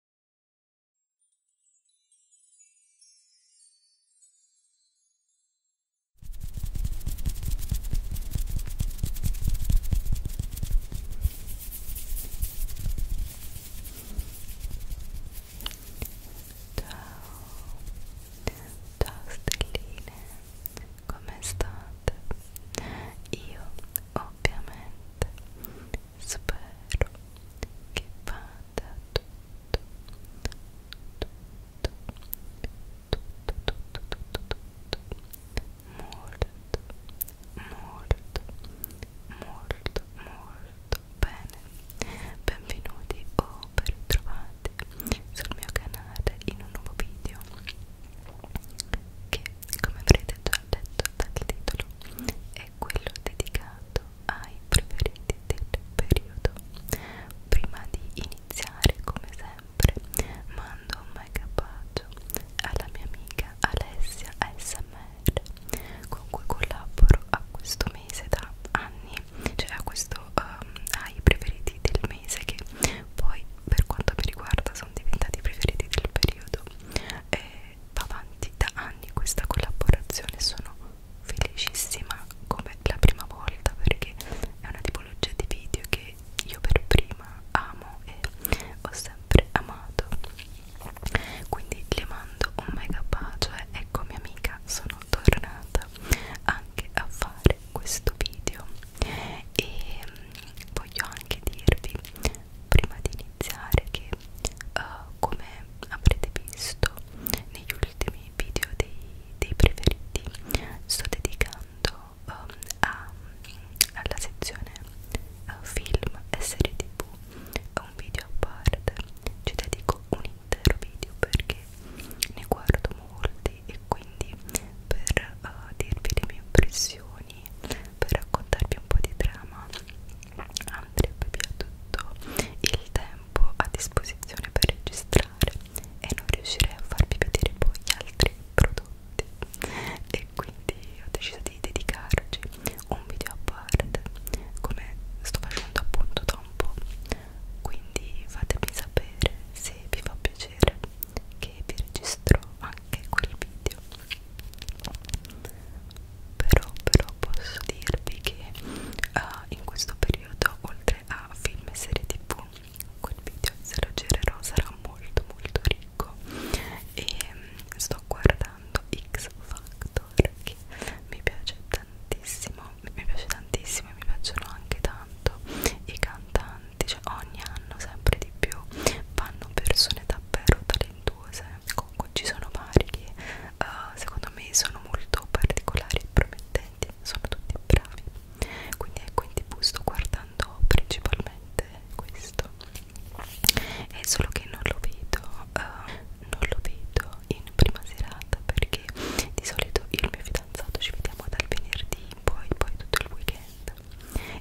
Ciao stelline, come state? Io ovviamente spero che vada tutto tutto tutto tutto tutto tutto molto molto molto molto bene benvenuti o ben ritrovati sul mio canale in un nuovo video che come avrete già detto dal titolo, è quello dedicato ai preferiti del periodo. Prima di iniziare, come sempre, mando un mega bacio alla mia amica Alessia ASMR con cui collaboro a questo mese da anni, cioè a questo um, ai preferiti del mese che poi per quanto mi riguarda sono diventati i preferiti del periodo e va avanti da anni questa collaborazione sono felicissima come la prima volta perché è una tipologia di video che io per prima amo e ho sempre amato quindi le mando un mega bacio e ecco mia amica sono tornata anche a fare questo video e mm, voglio anche dirvi prima di iniziare evidenziare che uh, come avrete visto negli ultimi video dei, dei preferiti sto dedicando um, a, alla sezione uh, film e serie tv un video a parte ci dedico un intero video perché ne guardo molti e quindi per uh, dirvi le mie impressioni per raccontarvi un po' di trama andrebbe via tutto il tempo a disposizione per registrare e non riuscirei a farvi vedere poi gli altri prodotti e quindi ho deciso di dedicarci un video a parte come sto facendo appunto da un po' quindi fatemi sapere se vi fa piacere che vi registro anche quel video però però posso dirvi che uh, in questo periodo oltre a film e serie tv quel video se lo girerò sarà molto molto ricco e um, sto guardando X Factor che mi piace tantissimo mi piace tantissimo e mi piacciono anche tanto i cantanti cioè ogni anno sempre di più vanno persone davvero talentuose talentuose comunque ci sono vari che uh, secondo me sono molto particolari e promettenti sono tutti bravi quindi ecco in tv sto guardando principalmente questo è solo che non lo vedo uh, non lo vedo in prima serata perché di solito io e il mio fidanzato ci vediamo dal venerdì poi poi tutto il weekend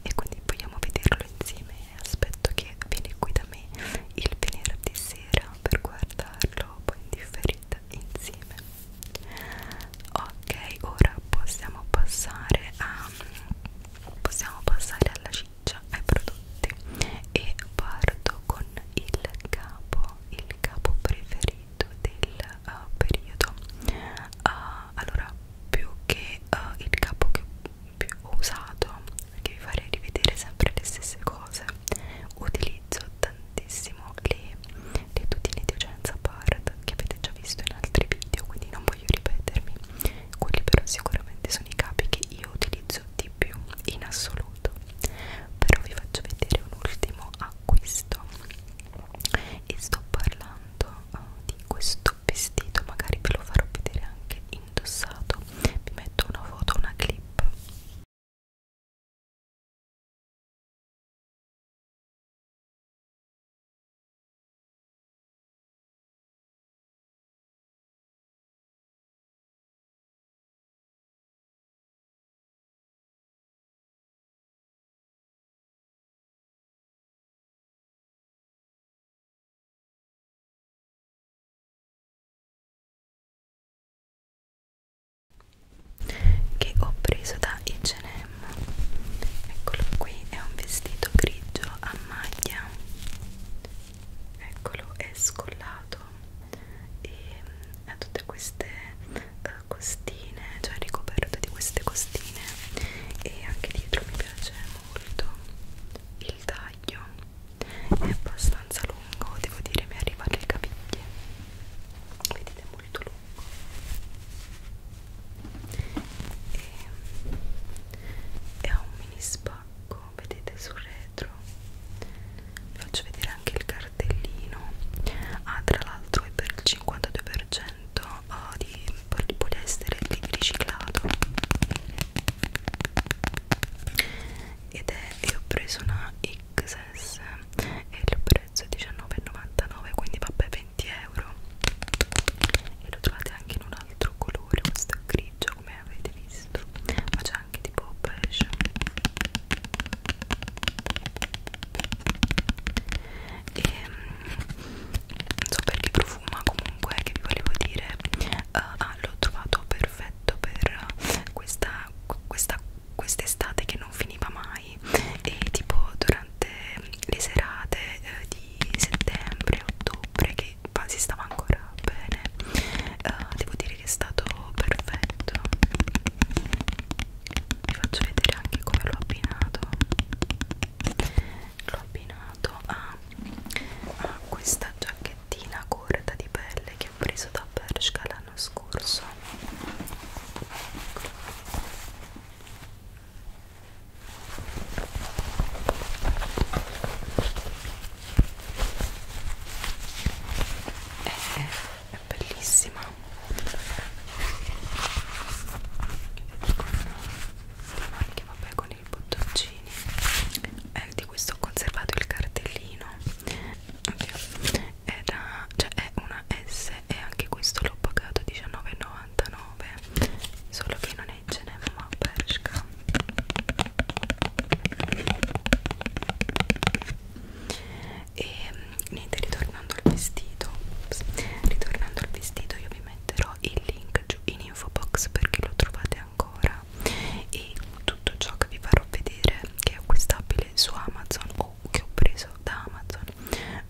e quindi vogliamo vederlo insieme aspetto che vieni qui da me il venerdì sera per guardarlo poi in differita insieme ok ora possiamo passare a possiamo passare alla ciccia ai prodotti e parto con il capo il capo preferito del uh, periodo uh, allora più che uh, il capo che più ho usato perché vi farei rivedere sempre le stesse cose utilizzo tantissimo le, le tutine di Ocenza Bard che avete già visto in altri video quindi non voglio ripetermi quelli però sicuramente sono i capi che io utilizzo di più in assoluto però vi faccio vedere un ultimo acquisto e sto parlando uh, di questo questo vestito magari ve lo farò vedere anche indossato vi metto una foto una clip che ho preso da H&M eccolo qui è un vestito grigio a maglia eccolo è scollato e mm, ha tutte queste uh, costine cioè ricoperto di queste costine e anche dietro mi piace molto il taglio è abbastanza lungo, devo dire mi arriva alle caviglie vedete è molto lungo e, e ha un mini spacco vedete sul retro vi faccio vedere anche il cartellino ah tra l'altro è per il 52% sono oh, di poliestere di riciclato ed è io ho preso una XS e il prezzo è 19,99 quindi vabbè 20 euro e lo trovate anche in un altro colore questo è grigio come avete visto ma c'è anche tipo beige e ehm, non so per chi profuma comunque che vi volevo dire uh, ah, l'ho trovato perfetto per eh, questa questa quest'estate che non finiva mai e tipo durante le serate eh, di settembre ottobre che si stava ancora bene uh, devo dire che è stato perfetto vi faccio vedere anche come l'ho abbinato l'ho abbinato a ha questa giacchettina corta di pelle che ho preso da Bershka l'anno scorso è, è bellissima con le maniche vabbè con buoni i bottoncini eh, di questo ho conservato il cartellino okay. Era, cioè è una S e anche questo l'ho pagato 19,99 solo che non è in Geneva ma a Bershka e ehm, niente ritornando al vestito ritornando al vestito io vi metterò il link link giù in info box perché lo trovate ancora e tutto ciò che vi farò vedere che è acquistabile su Amazon o che ho preso da Amazon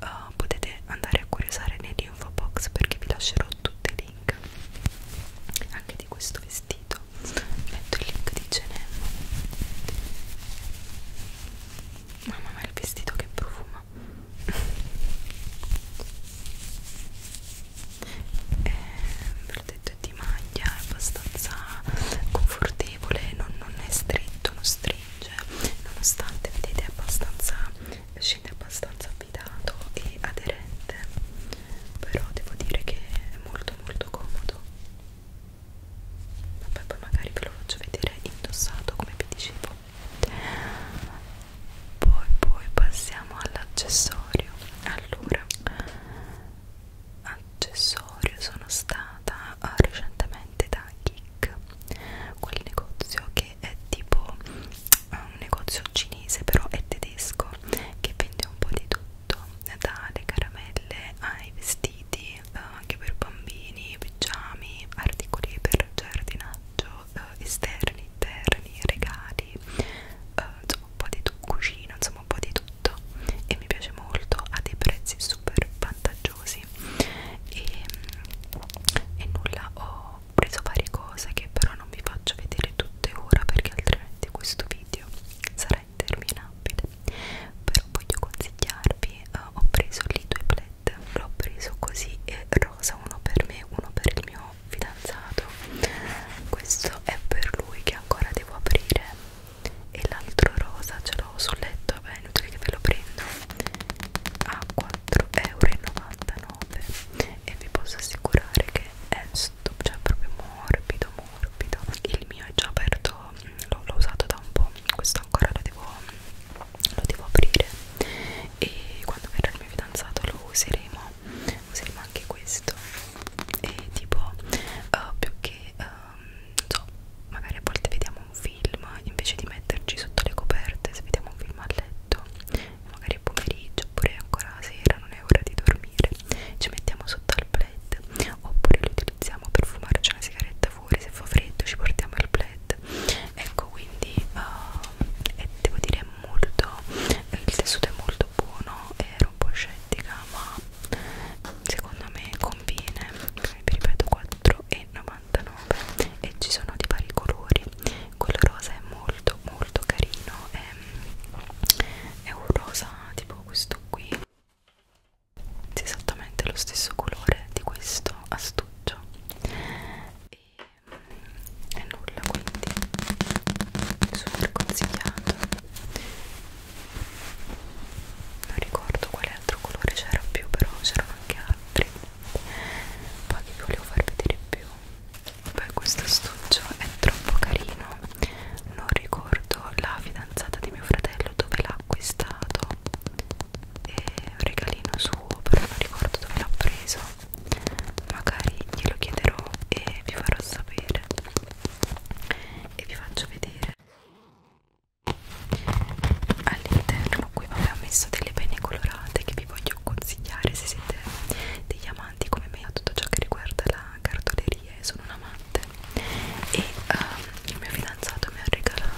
uh, potete andare a curiosare nell'info box perché vi lascerò tutti i link anche di questo vestito metto il link di Genelmo mamma ma il vestito che profumo insomma eh, è per detto di maglia è abbastanza confortevole non, non è stretto non stringe nonostante vedete è abbastanza scende abbastanza affidato e aderente però devo dire che è molto molto comodo vabbè poi magari ve lo faccio vedere indossato come vi dicevo poi poi passiamo all'accessorio allora accessorio sono stata recentemente da Geek quel negozio che è tipo eh, un negozio cinese però è tedesco che vende un po' di tutto dalle caramelle ai vestiti eh, anche per bambini, pigiami, articoli per giardinare viaggio, eh, esterni, interni, regali, eh, insomma un po' di tutto, cucina, insomma un po' di tutto e mi piace molto, ha dei prezzi super vantaggiosi e, e nulla, ho preso varie cose che però non vi faccio vedere tutte ora perché altrimenti questo video sarà interminabile però voglio consigliarvi, eh, ho preso lì due pled, l'ho preso così e rosa, uno per me, uno per il mio fidanzato. Questo è per lui che ancora devo aprire. E l'altro rosa ce l'ho sul letto, vabbè, è inutile che ve lo prendo. A 4,99€ e vi posso assicurare che è stop, cioè proprio morbido, morbido. Il mio è già aperto, mm, l'ho usato da un po'. Questo ancora lo devo lo devo aprire e quando verrà il mio fidanzato lo useremo useremo anche questo e tipo uh, più che uh, non so magari a volte vediamo un film invece di metterci sotto le coperte se vediamo un film a letto magari è pomeriggio oppure ancora sera non è ora di dormire ci mettiamo sotto al plaid oppure lo utilizziamo per fumarci una sigaretta fuori se fa freddo ci portiamo il plaid led ecco quindi uh, e devo dire molto il tessuto è molto buono ero un po' scettica ma secondo me conviene vi ripeto 4,99 e ci sono di vari colori quello rosa è molto molto carino è, è un rosa tipo questo qui esattamente lo stesso colore di questo astuccio e e nulla quindi super consigliato non ricordo quale altro colore c'era più però c'erano anche altri poi vi volevo far vedere più poi questo astuccio è troppo carino non ricordo la fidanzata di mio fratello dove l'ha acquistato e un regalino suo però non ricordo dove l'ha preso magari glielo chiederò e vi farò sapere e vi faccio vedere all'interno qui vabbè ho messo delle penne colorate che vi voglio consigliare se siete degli amanti come me a tutto ciò che riguarda la cartoleria e sono un amante e um, il mio fidanzato mi ha regalato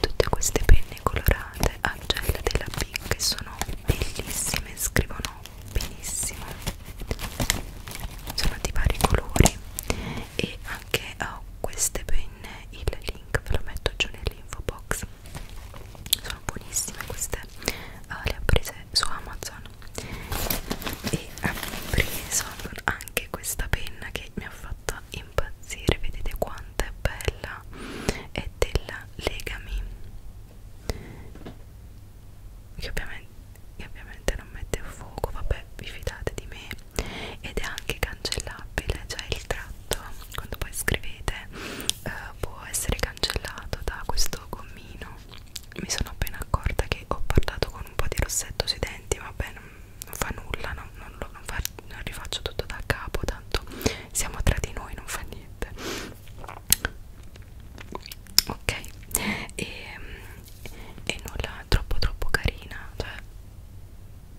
tutte queste penne colorate a gel della Pink sono bellissime scrivono benissimo sono di vari colori e anche ho oh, queste penne il link ve lo metto giù nell'info box sono buonissime queste uh, le ho prese su Amazon e ho preso anche questa penna che mi ha fatto impazzire vedete quanto è bella è della Legami che ovviamente, che ovviamente non mette a fuoco vabbè vi fidate di me ed è anche cancellabile cioè il tratto quando poi scrivete eh, può essere cancellato da questo gommino mi sono appena accorta che ho parlato con un po' di rossetto sui denti vabbè non, non fa nulla no? non, lo, non, fa, non rifaccio tutto da capo tanto siamo tra di noi, non fa niente. Ok, e, e nulla, troppo troppo carina, cioè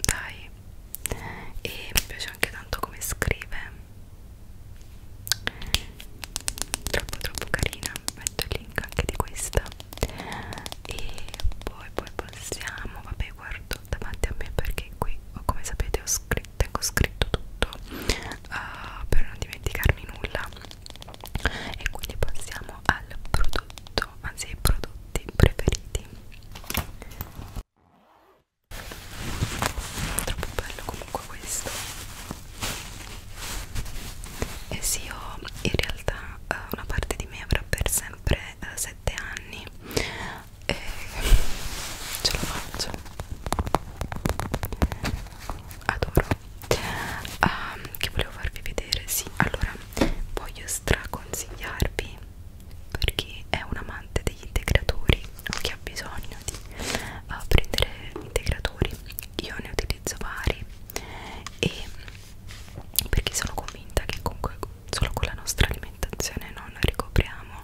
dai. E mi piace anche tanto come scrive. Troppo troppo carina, metto il link anche di questa. E poi poi passiamo, vabbè guardo tutto davanti a me perché qui come sapete ho scritto, tengo scritto tutto uh, per non dimenticarmi nulla e quindi passiamo al prodotto anzi ai prodotti preferiti troppo bello comunque questo e eh sì io in realtà uh, una parte di me avrà per sempre uh, 7 anni e eh, ce la faccio adoro um, che volevo farvi vedere sì allora voglio straconsigliarvi per chi è un amante degli integratori o chi ha bisogno di uh, prendere integratori io ne utilizzo vari e perché sono convinta che comunque solo con la nostra alimentazione non ricopriamo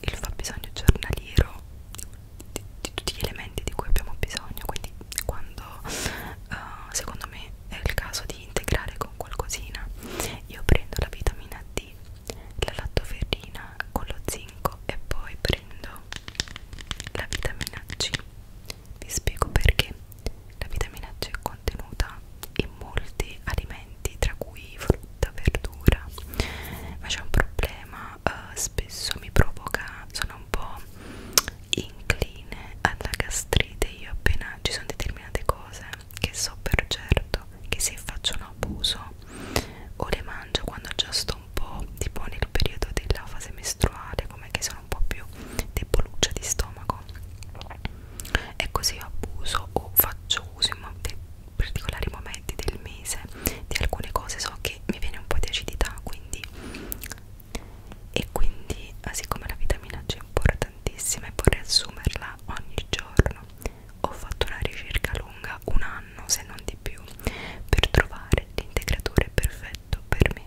il fabbisogno giornaliero di, di tutti gli elementi di cui abbiamo bisogno quindi quando uh, secondo me è il caso di integrare con qualcosina io prendo la vitamina D la lattoferrina con lo zinco e poi prendo la vitamina C vi spiego perché la vitamina C è contenuta in molti alimenti alimenti tra cui frutta, verdura ma c'è un problema uh, spesso mi provoca sono un po' incline alla gastrite io appena ci sono determinate cose che so per certo che se faccio un abuso o le mangio quando già sto un po' tipo nel periodo della fase mestruale come che sono un po' più deboluccia di stomaco e così abuso o faccio uso in particolari momenti del mese di alcune cose so che mi viene un po' di acidità quindi e quindi ah, siccome la vitamina C è importantissima e vorrei assumerla ogni giorno ho fatto una ricerca lunga un anno se non di più per trovare l'integratore perfetto per me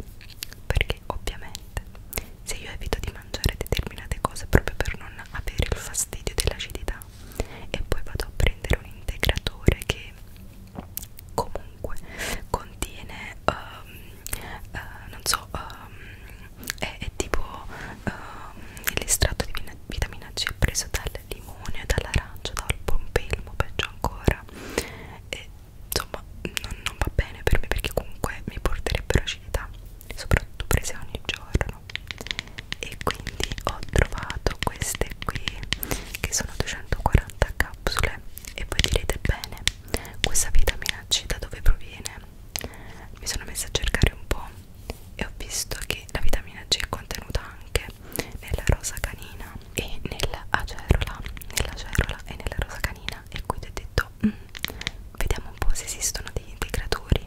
perché ovviamente se io evito di mangiare determinate cose proprio per non avere il fastidio dell'acidità e poi vado a prendere un integratore che comunque contiene um, uh, non so um, è, è tipo um, l'estratto di vitamina C preso dal limone dall'arancio dal pompelmo peggio ancora e insomma non, non va bene per me perché comunque mi porterebbero acidità soprattutto prese ogni giorno e quindi ho trovato queste qui che sono 240 capsule e voi direte bene questa vitamina C da dove proviene mi sono messa a cercare un po' e ho visto che la vitamina C è contenuta anche nella rosa canina e nella acerola nella acerola e nella rosa canina e quindi ho detto mm, vediamo un po' se esistono dei, dei creatori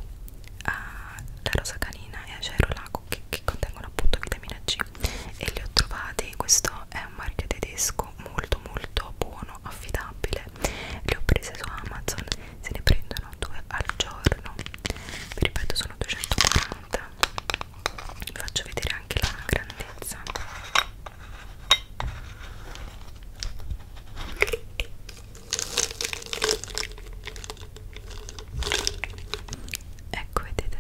alla eh, rosa canina e a Gero Lago che, che contengono appunto vitamina C e li ho trovati, questo è un marchio tedesco molto molto buono, affidabile li ho presi su Amazon, se ne prendono due al giorno vi ripeto sono 240 vi faccio vedere anche la grandezza Ecco, vedete,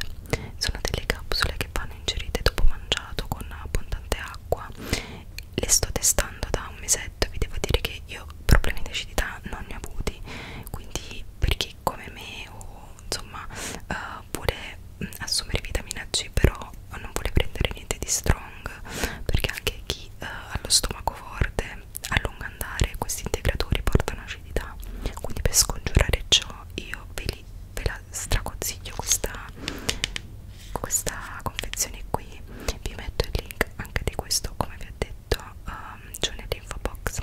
sono delle capsule che vanno ingerite dopo mangiato con abbondante acqua. Le sto testando da un mesetto, vi devo dire che io problemi di acidità non ne ho avuti, quindi per chi come me o insomma uh, vuole mm, assumere vitamina C però non vuole prendere niente di strong, perché anche chi chi eh, ha lo stomaco forte a lungo andare questi integratori portano acidità quindi per scongiurare ciò io ve, li, ve la straconsiglio questa, questa confezione qui vi metto il link anche di questo come vi ho detto um, giù nell'info box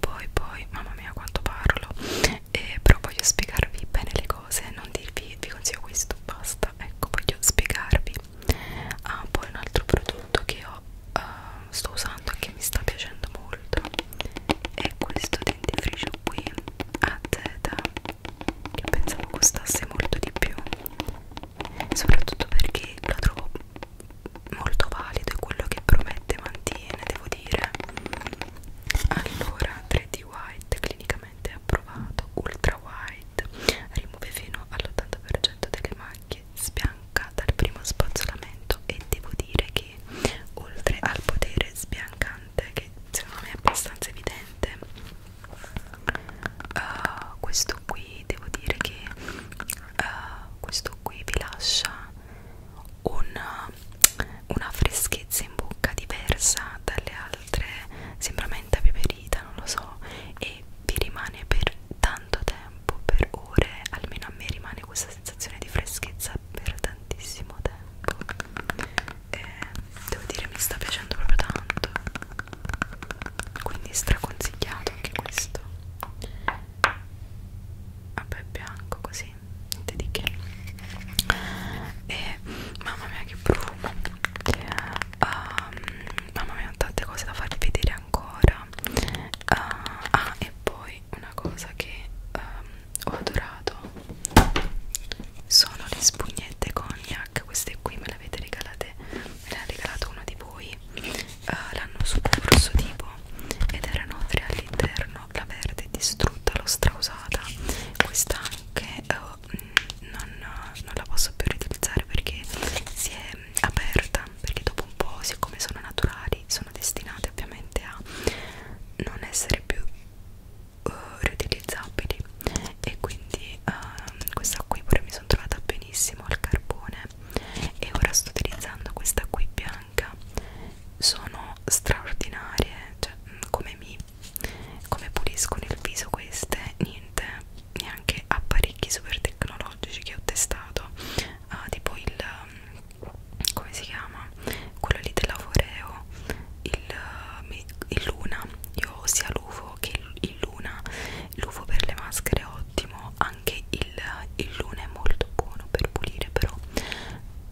poi poi mamma mia quanto parlo e però voglio spiegarvi bene le cose non dirvi quindi vi consiglio questo basta ecco voglio spiegarvi ah poi un altro prodotto che ho uh, sto usando e che mi sta piacendo molto è questo dentifricio qui a Z che pensavo costasse molto di più soprattutto perché lo trovo molto valido e quello che promette mantiene devo dire allora 3D White clinica mediamente approvato ultra wide rimuove fino all'80% delle macchie sbianca dal primo spazzolamento e devo dire che oltre al potere sbiancante che secondo me è abbastanza evidente uh, questo qui devo dire che uh, questo qui vi lascia un una freschezza in bocca diversa dalle altre, sembra menta peperita, non lo so, e vi rimane per tanto tempo, per ore, almeno a me rimane questa sensazione di freschezza per tantissimo tempo. E eh, devo dire mi sta piacendo proprio tanto. Quindi straconsigliato anche questo. Vabbè, bianco così, niente di che. E mamma mia che profumo um, mamma mia ho tante cose da farvi vedere ancora uh, ah e poi una cosa che um, ho adorato sono le spugnette cognac queste qui me le avete regalate me le ha regalato uno di voi uh, eh, l'anno scorso tipo ed erano tre all'interno la verde distrutta l'ho strausata questa anche uh, io mm, non, non la posso più riutilizzare perché si è aperta perché dopo un po' siccome sono naturali sono destinate ovviamente a non essere più uh, riutilizzabili e quindi uh, questa qui pure mi sono trovata benissimo al carbone e ora sto utilizzando questa qui bianca sono straordinarie cioè mm, come mi come puliscono il viso queste niente neanche apparecchi super tecnologici che ho testato uh, tipo il mm, come si chiama quello lì della Foreo il, mm, il Luna io ho sia l'UFO che il, il Luna l'UFO per le maschere è ottimo anche il, il Luna è molto buono per pulire però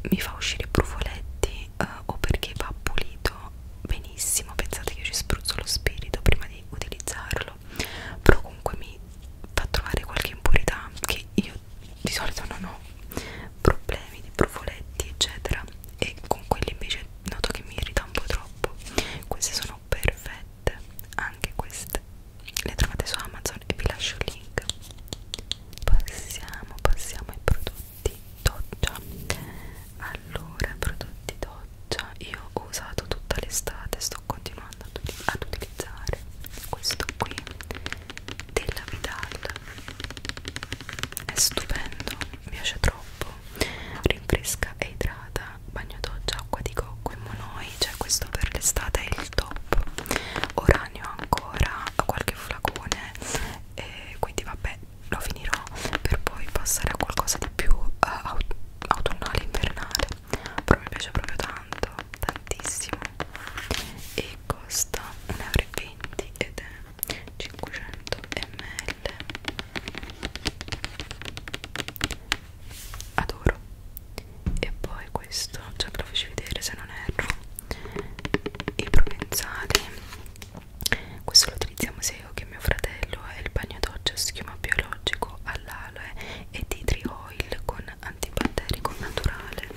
mi fa uscire brufoletti eh, o perché va pulito benissimo pensate che io ci spruzzo lo spirito prima di utilizzarlo però comunque mi fa trovare qualche impurità che io di solito non ho problemi di profoletti eccetera e con quelli invece noto che mi irrita un po' troppo queste sono perfette anche queste le trovate su Amazon e vi lascio il link passiamo passiamo ai prodotti prodotti doccia allora prodotti doccia io ho usato tutta l'estate sto continuando ad, ad utilizzare questo qui della Vidal è stupendo mi piace troppo rinfresca e idrata bagno doccia acqua di cocco e monoi cioè questo per l'estate è il top ora ne ho ancora qualche flacone e quindi vabbè lo finirò per poi passare a qualcosa di più uh, aut autunnale, invernale però mi piace proprio tanto, tantissimo e costa 1,20 euro ed è 500 ml adoro e poi questo, già ve lo faccio vedere se non erro i provenzali questo lo utilizziamo sia io che mio fratello è eh, il bagno doccia a schiuma biologico all'aloe e di tree oil con antibatterico naturale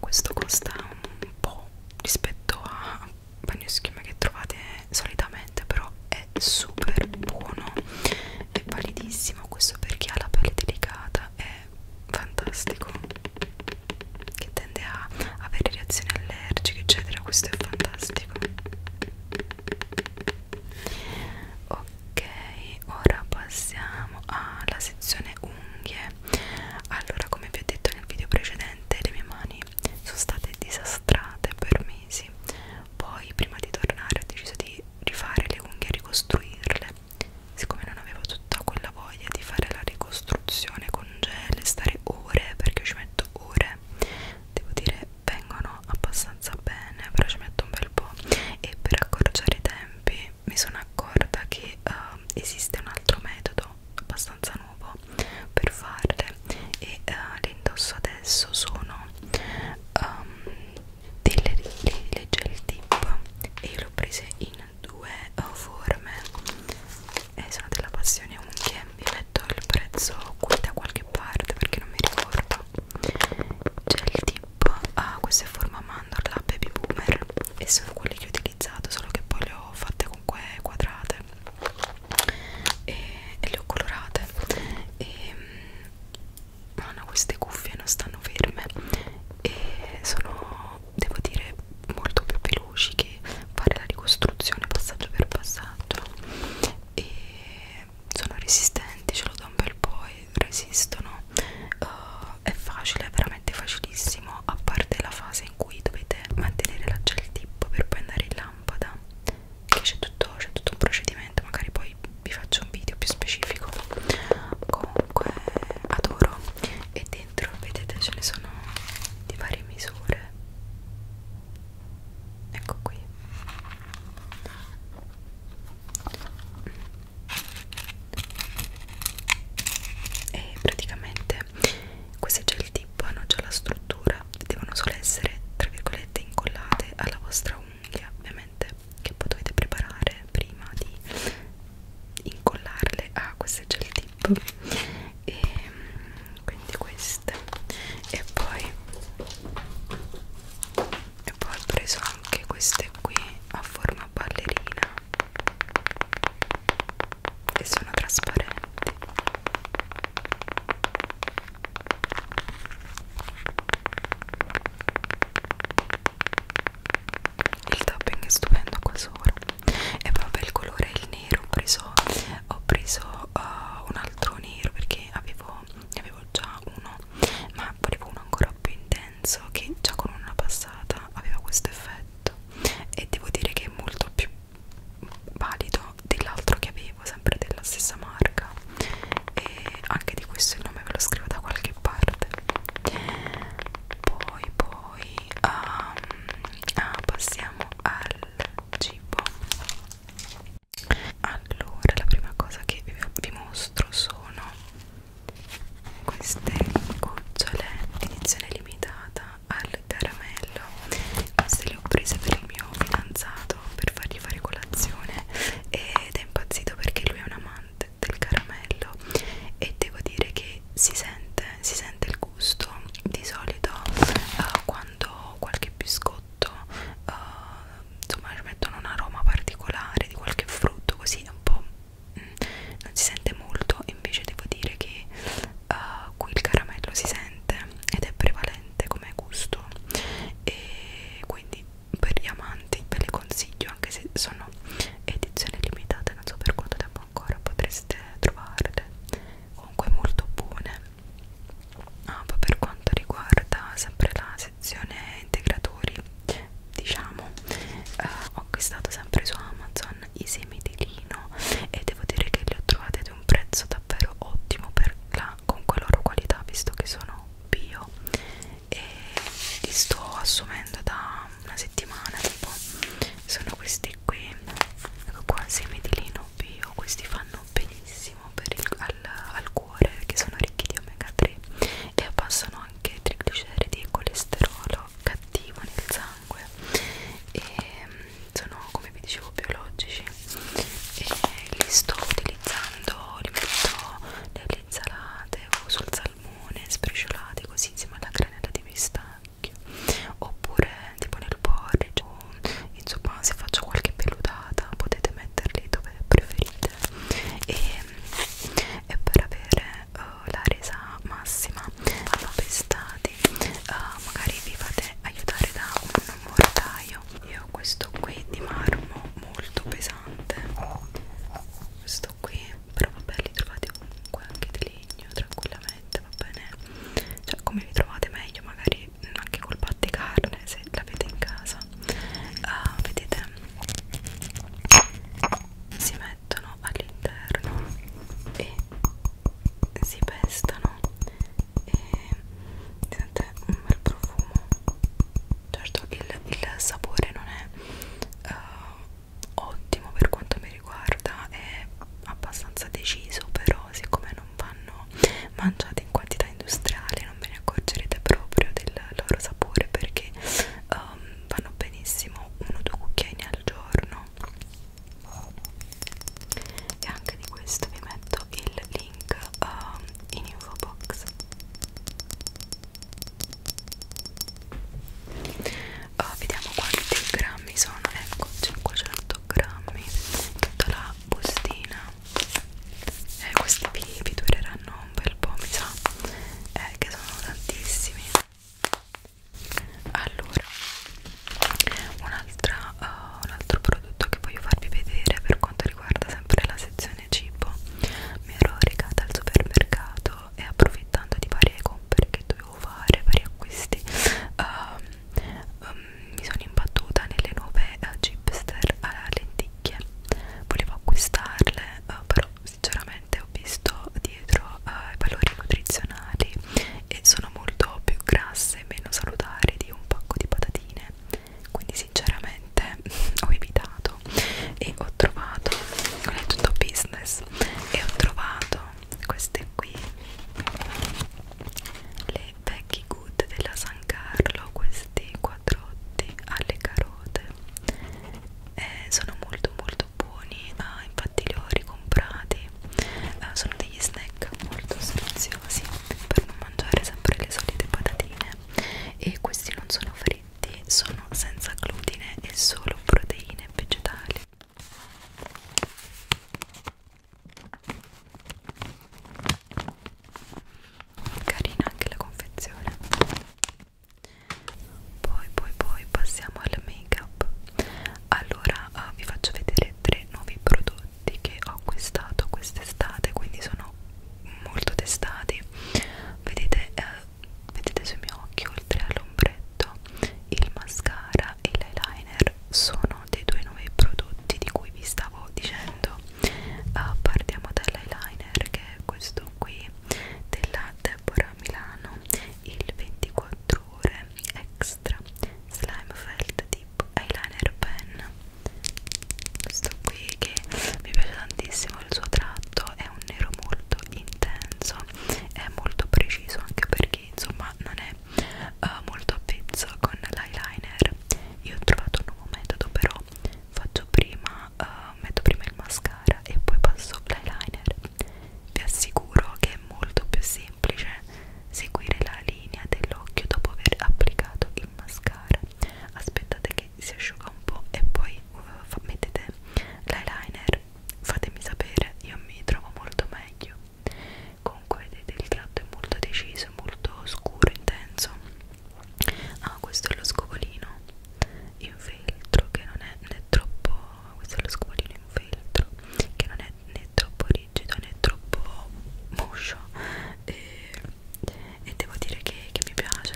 questo costa un po' rispetto a bagno schiuma che trovate solitamente però è super buono è validissimo questo per chi ha la pelle delicata è fantastico che tende a avere reazioni allergiche eccetera questo è fantastico ok ora passiamo alla sezione unghie allora come vi ho detto nel video precedente le mie mani sono state disastrate per mesi poi prima di tornare ho deciso di rifare le unghie e ricostruirle siccome non avevo tutta quella voglia di fare la ricostruzione con gel stare ore perché io ci metto ore devo dire vengono abbastanza bene però ci metto un bel po' e per accorciare i tempi mi sono accorta che uh, esiste un altro metodo abbastanza nuovo per farle e uh, le indosso adesso sono um, delle, delle gel tip e io le ho prese in due forme e sono della passione unghie vi metto il prezzo qui da qualche parte perché non mi ricordo c'è il tipo a ah, queste forma mandorla baby boomer e sono quelle che ho utilizzato solo che poi le ho fatte comunque quadrate e, e le ho colorate e mm, hanno ah, queste cuffie non stanno ferme e sono devo dire molto più veloci che fare la ricostruzione passaggio per passaggio e sono resistenti ce lo do un bel po' e resistono uh, è facile è veramente facilissimo a parte la fase in cui dovete mantenere la gel tip per poi andare in lampada che c'è tutto, tutto un procedimento magari poi vi faccio un video più specifico comunque adoro e dentro vedete ce ne sono di varie misure ecco qui e praticamente questi gel tip hanno già la struttura devono solo essere tra virgolette incollate alla vostra unghia ovviamente che poi dovete preparare prima di incollarle a queste gel tip e mm, quindi queste e poi e poi ho preso anche queste qui a forma ballerina che sono trasparenti il tapping è stupendo qua sopra e vabbè il colore è il nero ho preso, ho preso uh, un altro nero perché avevo, ne avevo già uno ma volevo uno ancora più intenso che già con una passata aveva questo effetto e devo dire che è molto più valido dell'altro che avevo sempre della stessa marca e anche di questo il nome ve lo scrivo da qualche parte poi poi um, ah, passiamo al cibo allora la prima cosa che vi, vi mostro sono queste gocciole edizione limitata al caramello queste le ho prese per il mio fidanzato per fargli fare colazione ed è impazzito perché lui è un amante del caramello e devo dire che si sente si sente il gusto di solito uh, quando qualche biscotto uh, insomma ci mettono un aroma particolare di qualche frutto così un po' mh, mm, non si sente molto invece devo dire che uh, qui il caramello si sente ed è prevalente come gusto e quindi per gli amanti ve le consiglio anche se sono edizione limitata non so per quanto tempo ancora potreste trovarle comunque molto buone ah, poi per quanto riguarda sempre la sezione integratori diciamo eh, ho acquistato sempre su Amazon i semi di lino e devo dire che li ho trovati ad un prezzo davvero ottimo per la, con la loro qualità visto che sono bio e li sto assumendo da una settimana tipo sono questi qui ecco qua semi di lino bio oh, questi fanno benissimo per il, al, al cuore perché sono ricchi di omega 3 e abbassano anche trigliceridi e colesterolo cattivo nel sangue e sono come vi dicevo biologici e li sto utilizzando li metto nelle insalate o sul salmone spreciolate così insieme alla granella di vista occhio oppure tipo nel porridge o insomma se faccio qualche peludata potete metterli dove preferite e, e per avere uh, la resa massima dopo pestati uh, eh, magari vi fate aiutare da un mortaio io ho questo qui di marmo molto pesante questo qui però vabbè li trovate comunque anche di lì legno tranquillamente va bene cioè come vi trovate meglio magari anche col batticarne se l'avete in casa uh, vedete si mettono all'interno e si pestano e sente un bel profumo certo il, il sapore non è uh, ottimo per quanto mi riguarda è abbastanza deciso però siccome non vanno mangiate in quantità industriale non ve ne accorgerete proprio del loro sapore perché um, vanno benissimo uno o due cucchiaini al giorno e anche di questo vi metto il link um, in info box Oh, vediamo quanti grammi sono ecco c'è qua 100 grammi tutta la bustina eh, questi vi, vi dureranno un bel po' mi sa eh, che sono tantissimi allora un'altra uh, un altro prodotto che voglio farvi vedere per quanto riguarda sempre la sezione cibo mi ero recata al supermercato io e approfittando di varie compere che dovevo fare, vari acquisti, um, um, mi sono imbattuta nelle nuove uh, chipster alla lenticchia. Volevo acquistarle, uh, però sinceramente ho visto dietro uh, i valori nutrizionali e sono molto più grasse e meno salutari di un pacco di patatine. Quindi sinceramente ho evitato e ho trovato ho tutto business e ho trovato queste qui le vecchie good della San Carlo questi quadrotti alle carote eh, sono molto molto buoni ah, infatti li ho ricomprati eh, sono degli snack molto sfiziosi per non mangiare sempre le solite patatine e questi non sono fritti fritti sono senza glutine e solo proteine vegetali. Carina anche la confezione. Poi poi poi passiamo al make up. Allora uh, vi faccio vedere tre nuovi prodotti che ho acquistato quest'estate, quindi sono molto testati. Vedete, eh, vedete sul mio occhio oltre all'ombretto il mascara e l'eyeliner sono dei due nuovi prodotti di cui vi stavo dicendo uh, partiamo dall'eyeliner che è questo qui della Deborah Milano il 24 ore extra slime felt tip eyeliner pen questo qui che mi piace tantissimo il suo tratto è un nero molto intenso è molto preciso anche perché insomma non è uh, molto avvezzo con l'eyeliner io ho trovato un nuovo metodo però faccio prima uh, metto prima il mascara e poi passo l'eyeliner vi assicuro che è molto più semplice seguire la linea dell'occhio dopo aver applicato il mascara aspettate che si asciuga un po' e poi uh, mettete l'eyeliner fatemi sapere, io mi trovo molto meglio. Comunque vedete il tratto è molto deciso, molto scuro, intenso. Ah, questo è lo scovolino in feltro che non è né troppo. Questo è lo scovolino in feltro che non è né troppo rigido né troppo moscio. E, e devo dire che, che mi piace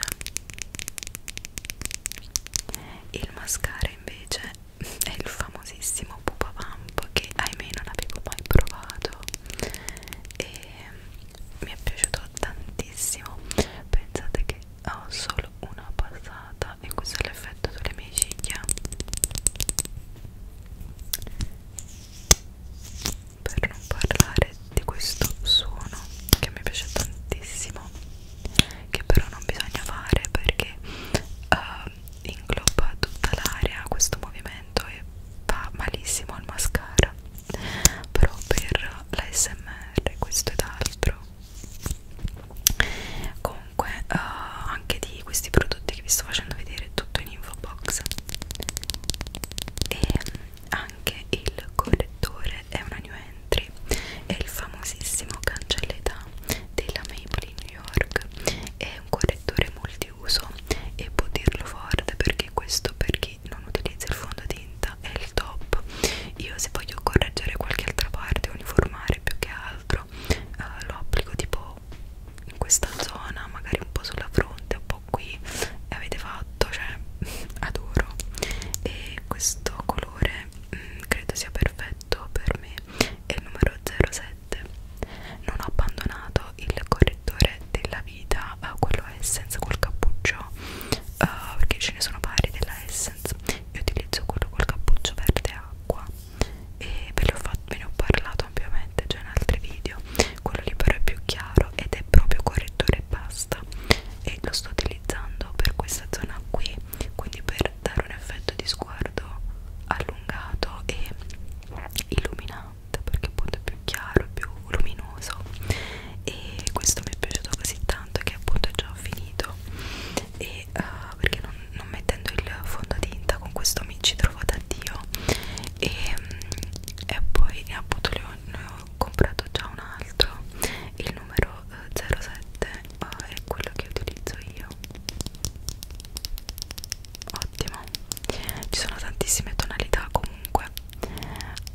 il mascara invece è il famosissimo Pupa Vamp che ahimè non avevo mai provato e mi è piaciuto tantissimo pensate che ho solo una passata e questo è l'effetto sulle mie ciglia per non parlare di questo suono che mi piace tantissimo che però non bisogna fare perché uh, ingloba tutta l'area questo movimento e fa malissimo al mascara però per l'ASMR questo ed altro comunque uh, anche di questi prodotti che vi sto facendo vedere tutto in info box e anche il correttore è una new Entry è il famosissimo cancelletà della Maybelline New York è un correttore multiuso e può dirlo forte perché questo per chi non utilizza il fondotinta è il top io se voglio correggere qualche altra parte uniformare più che altro eh, lo applico tipo in questa zona magari un po' sulla fronte un po' qui e avete fatto cioè adoro e questo colore me mm, mh, credo sia perfetto per me è il numero 07 non ho abbandonato il correttore della vita uh, quello Essence col cappuccio uh, perché ce ne sono vari della Essence io utilizzo quello col cappuccio verde acqua e ve, fatto, ve ne ho parlato ampiamente già in altri video quello lì però è più chiaro ed è proprio correttore e basta e lo sto utilizzando per questa zona qui quindi per dare un effetto di sguardo allungato e illuminante perché appunto è più chiaro, più luminoso e questo mi è piaciuto così tanto che appunto è già finito e uh, perché non, non mettendo il fondotinta con questo mi ci trovo da Dio e, mm, e poi appunto ne ho, ne ho comprato già un altro il numero 07 eh, è quello che utilizzo io ottimo ci sono tantissime tonalità comunque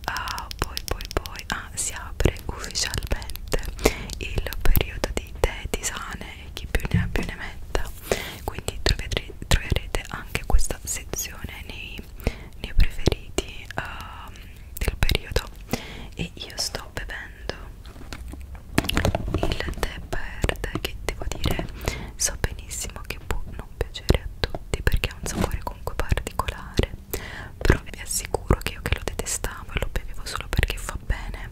ah, poi poi poi ah, si apre ufficialmente il periodo di tè tisane e chi più ne ha più ne metta quindi troverete, troverete anche questa sezione nei, nei preferiti um, del periodo e io sto bevendo il tè verde che devo dire so benissimo che può non piacere a tutti perché ha un sapore comunque particolare però vi assicuro che io che lo detestavo e lo bevevo solo perché fa bene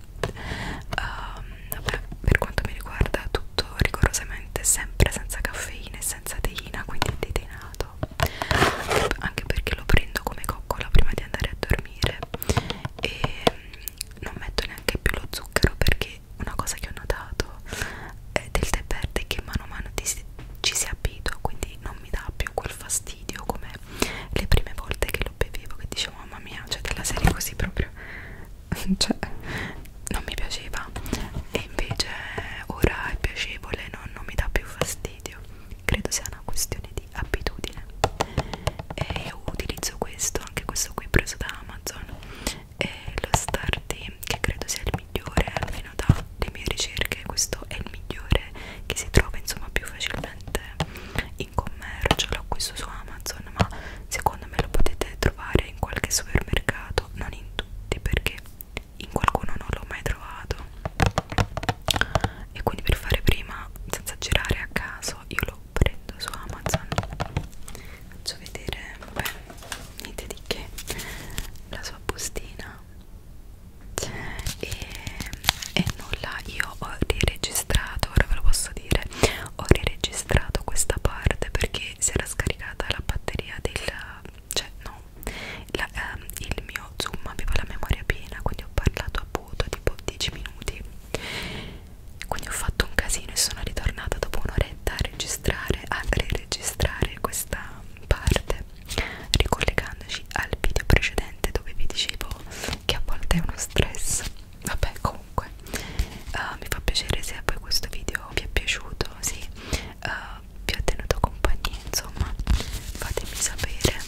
um, vabbè, per quanto mi riguarda tutto rigorosamente sempre senza caffeina e senza teina quindi detenato questo anche, anche perché lo prendo come coccola prima di andare a dormire e non metto neanche più lo zucchero perché una cosa che ho notato è del tè verde che mano a mano ti, ci si abitua quindi non mi dà più quel fastidio come le prime volte che lo bevevo che dicevo mamma mia cioè della serie così proprio cioè non mi piaceva e invece ora è piacevole non, non mi dà più fastidio video credo sia una questione di abitudine e io utilizzo questo anche questo qui preso da Amazon e lo Starty che credo sia il migliore almeno dalle mie ricerche questo è il migliore che si trova insomma più facilmente in commercio l'ho acquisto su Amazon ma secondo me lo potete trovare in qualche supermercato non in tutti perché in qualcuno non l'ho mai trovato e quindi per fare prima senza girare a caso io lo prendo su Amazon faccio vedere vabbè niente di che la sua bustina e, e nulla io ho riregistrato ora ve lo posso dire ho riregistrato questa parte perché si era scaricata la batteria del cioè no la, ehm, il mio zoom aveva la memoria piena quindi ho parlato appunto tipo 10 minuti quindi ho fatto un casino e sono ritornata dopo un'oretta a registrare a riregistrare questa parte ricollegandoci al video precedente dove vi dicevo che a volte è uno stress vabbè comunque uh, mi fa piacere se poi questo video vi è piaciuto sì uh, vi ho tenuto compagnia insomma fatemi sapere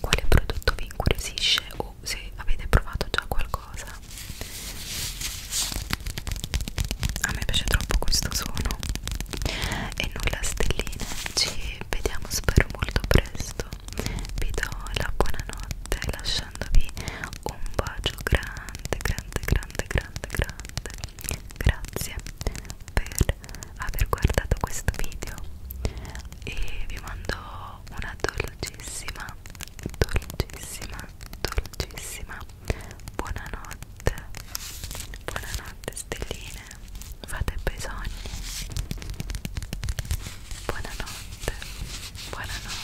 quale prodotto vi incuriosisce o se avete provato già qualcosa a me piace troppo questo suono e nulla stelline ci vediamo spero molto presto vi do la buonanotte lasciandovi un bacio grande grande grande grande grande grazie per per aver guardato questo video e vi mando una dolcissima, dolcissima, dolcissima buonanotte, buonanotte stelline, fate bei sogni, buonanotte, buonanotte.